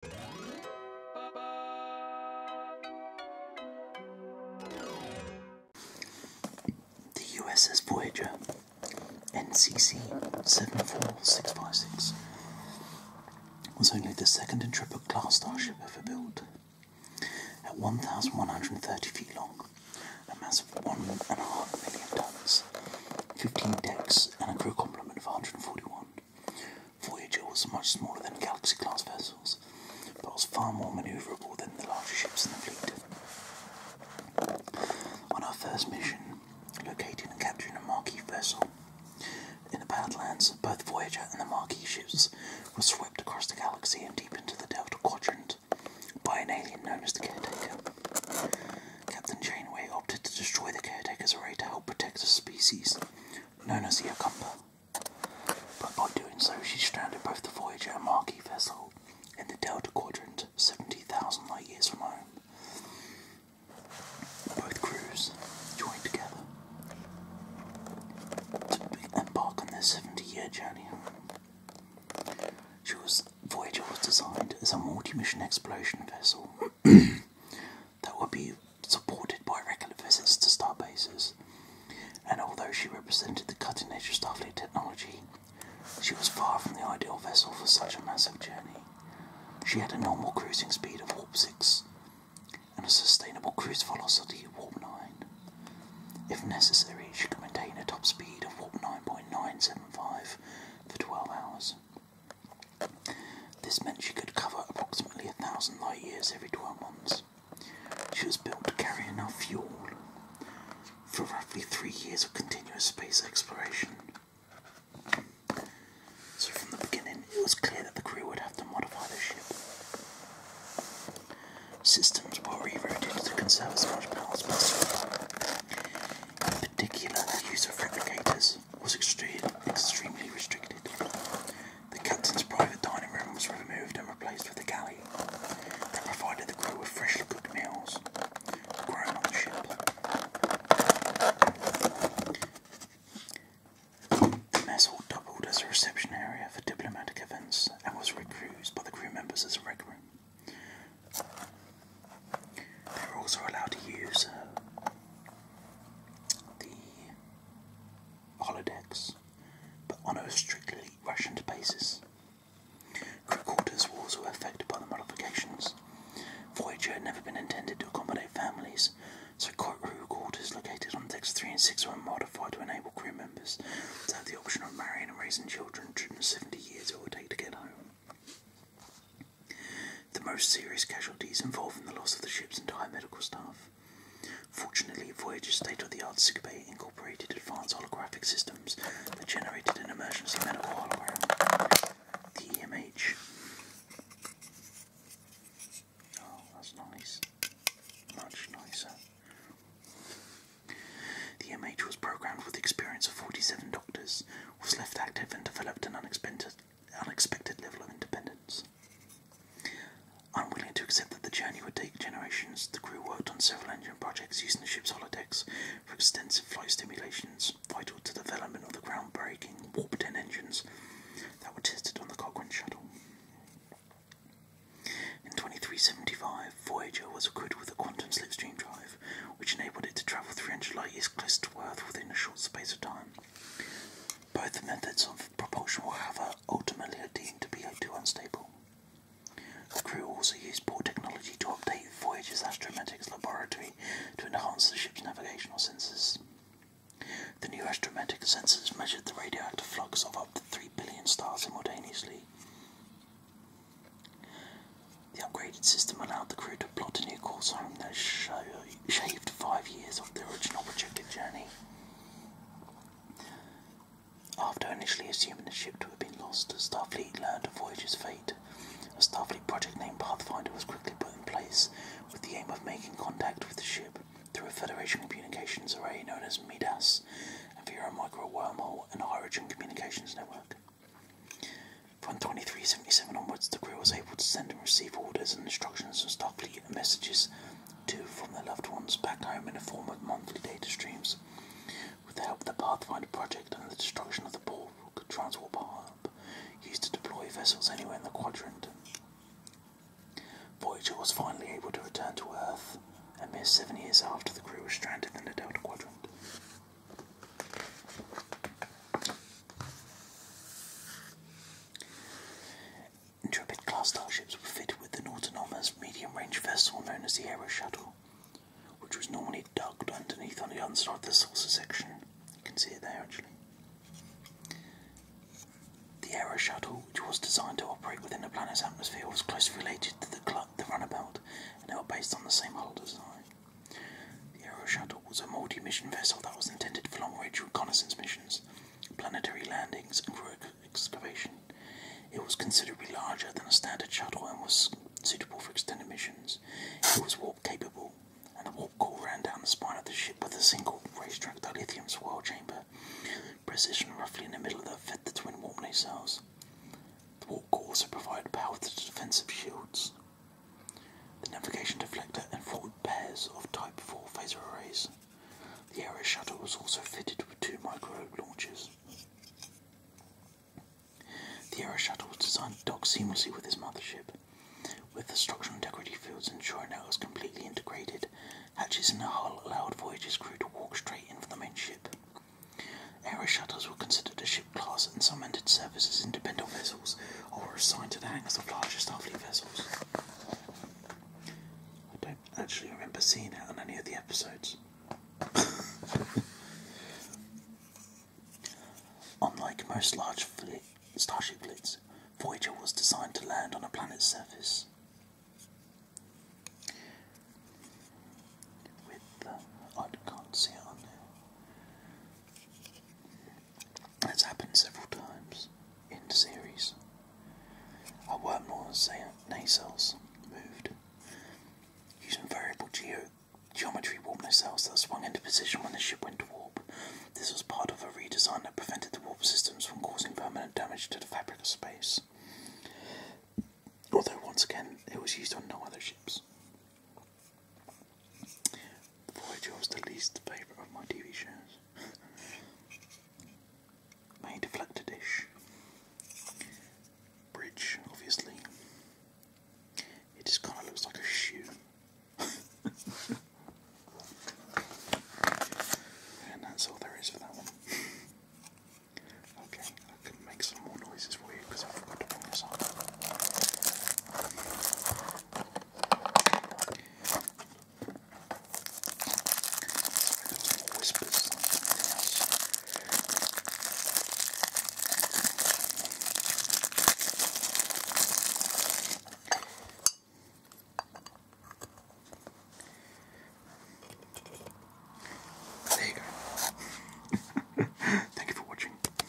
The USS Voyager NCC 74656 was only the second Intrepid class starship ever built. At 1,130 feet long, a mass of 1.5 million tons, 15 decks, and a crew complement of 141, Voyager was much smaller than Galaxy class vessels, but was far more manoeuvrable than the larger ships in the fleet. On our first mission, locating and capturing a Marquis vessel in the Badlands, both Voyager and the Marquis ships were swept across the galaxy and deep into the Delta Quadrant by an alien known as the Caretaker. Captain Janeway opted to destroy the Caretaker's array to help protect the species known as the Acumba. But by doing so, she stranded both the Voyager and Marquee vessel in the Delta Quadrant, 70,000 light years from home. Both crews joined together to embark on their 70 year journey. She was, Voyager was designed as a multi mission exploration vessel that would be supported by regular visits to starbases, And although she represented the cutting edge of Starfleet technology, she was far from the ideal vessel for such a massive journey. She had a normal cruising speed of warp 6 and a sustainable cruise velocity of warp 9. If necessary, she could maintain a top speed of warp 9.975 for 12 hours. This meant she could cover approximately a thousand light years every 12 months. She was built to carry enough fuel for roughly three years of continuous space exploration. So, from the beginning, it was clear that the crew would have to modify the ship. Systems were rerouted to conserve as much power as possible perpendicular use of replicators was extremely restricted. The captain's private dining room was removed and replaced with a galley that provided the crew with freshly cooked meals grown on the ship. The mess hall doubled as a reception area for diplomatic events and was reused by the crew members as a rec room. They were also allowed to use uh, the holodecks, but on a strictly Russian basis. Crew quarters were affected by the modifications. Voyager had never been intended to accommodate families, so crew quarters located on decks 3 and 6 were modified to enable crew members to have the option of marrying and raising children during the 70 years it would take to get home. The most serious casualties involving the loss of the ship's entire medical staff. Fortunately, Voyager's state-of-the-art sick incorporated advanced holographic systems that generated an emergency medical hologram. The MH. Oh, that's nice. Much nicer. The EMH was programmed with the experience of 47 doctors, was left active and developed an unexpected, unexpected level of independence. Unwilling to accept that the journey would take generations, the crew worked on several engine projects using the ship's holodecks for extensive flight simulations vital to development of the groundbreaking Warp 10 engines that were tested on the Cochrane shuttle. In 2375, Voyager was equipped with a quantum slipstream drive, which enabled it to travel 300 light years close to Earth within a short space of time. Both methods of propulsion were, however, ultimately deemed to be too unstable. The crew also used poor technology to update Voyager's astrometrics Laboratory to enhance the ship's navigational sensors. The new astromatic sensors measured the radioactive flux of up to 3 billion stars simultaneously. The upgraded system allowed the crew to plot a new course home that showed shaved five years off the original projected journey. After initially assuming the ship to have been lost, Starfleet learned of Voyager's fate. A Starfleet project named Pathfinder was quickly put in place with the aim of making contact with the ship through a Federation communications array known as MIDAS and via a micro wormhole and a hydrogen communications network. From 2377 onwards, the crew was able to send and receive orders and instructions from Starfleet and messages to from their loved ones back home in the form of monthly data streams. With the help of the Pathfinder project and the destruction of the Borg transport hub, used to deploy vessels anywhere in the quadrant, Voyager was finally able to return to Earth a mere seven years after the crew was stranded in the Delta Quadrant. Intrepid class starships were fitted with an autonomous medium range vessel known as the Aero Shuttle, which was normally ducked underneath on the underside of the saucer section. You can see it there actually. The Aero Shuttle, which was designed to operate within the planet's atmosphere, was closely related to the, the runabout and they were based on the same hull design. The Aero Shuttle was a multi mission vessel that was intended for long range reconnaissance missions, planetary landings, and crew excavation. It was considerably larger than a standard shuttle and was suitable for extended missions. It was warp capable, and the warp core ran down the spine of the ship with a single racetrack dilithium swirl chamber, positioned roughly in the middle that fed the twin warp nacelles. The warp core also provided power to the defensive shields, the navigation deflector and forward pairs of Type 4 phaser arrays. The Ares shuttle was also fitted with two micro launchers. The Ares shuttle was designed to dock seamlessly with its mothership, with the structural integrity fields ensuring that it was completely integrated. Hatches in the hull allowed Voyager's crew to walk straight in from the main ship. Aero shuttles were considered a ship class and some entered services independent vessels or assigned to the ranks of larger Starfleet vessels. I don't actually remember seeing it on any of the episodes. Unlike most large fleet, starship fleets, Voyager was designed to land on a planet's surface. I can't see on that's happened several times in the series. Our wormhole nacelles moved. Using variable geo geometry warp nacelles that swung into position when the ship went to warp. This was part of a redesign that prevented the warp systems from causing permanent damage to the fabric of space. Although, once again, it was used on no other ships. Voyager was the least favourite of my TV shows. May Deflector Dish. Bridge, obviously. It just kind of looks like a shoe. and that's all there is for that one. Okay, I can make some more noises for because I forgot to bring this up. Whispers there you go. Thank you for watching.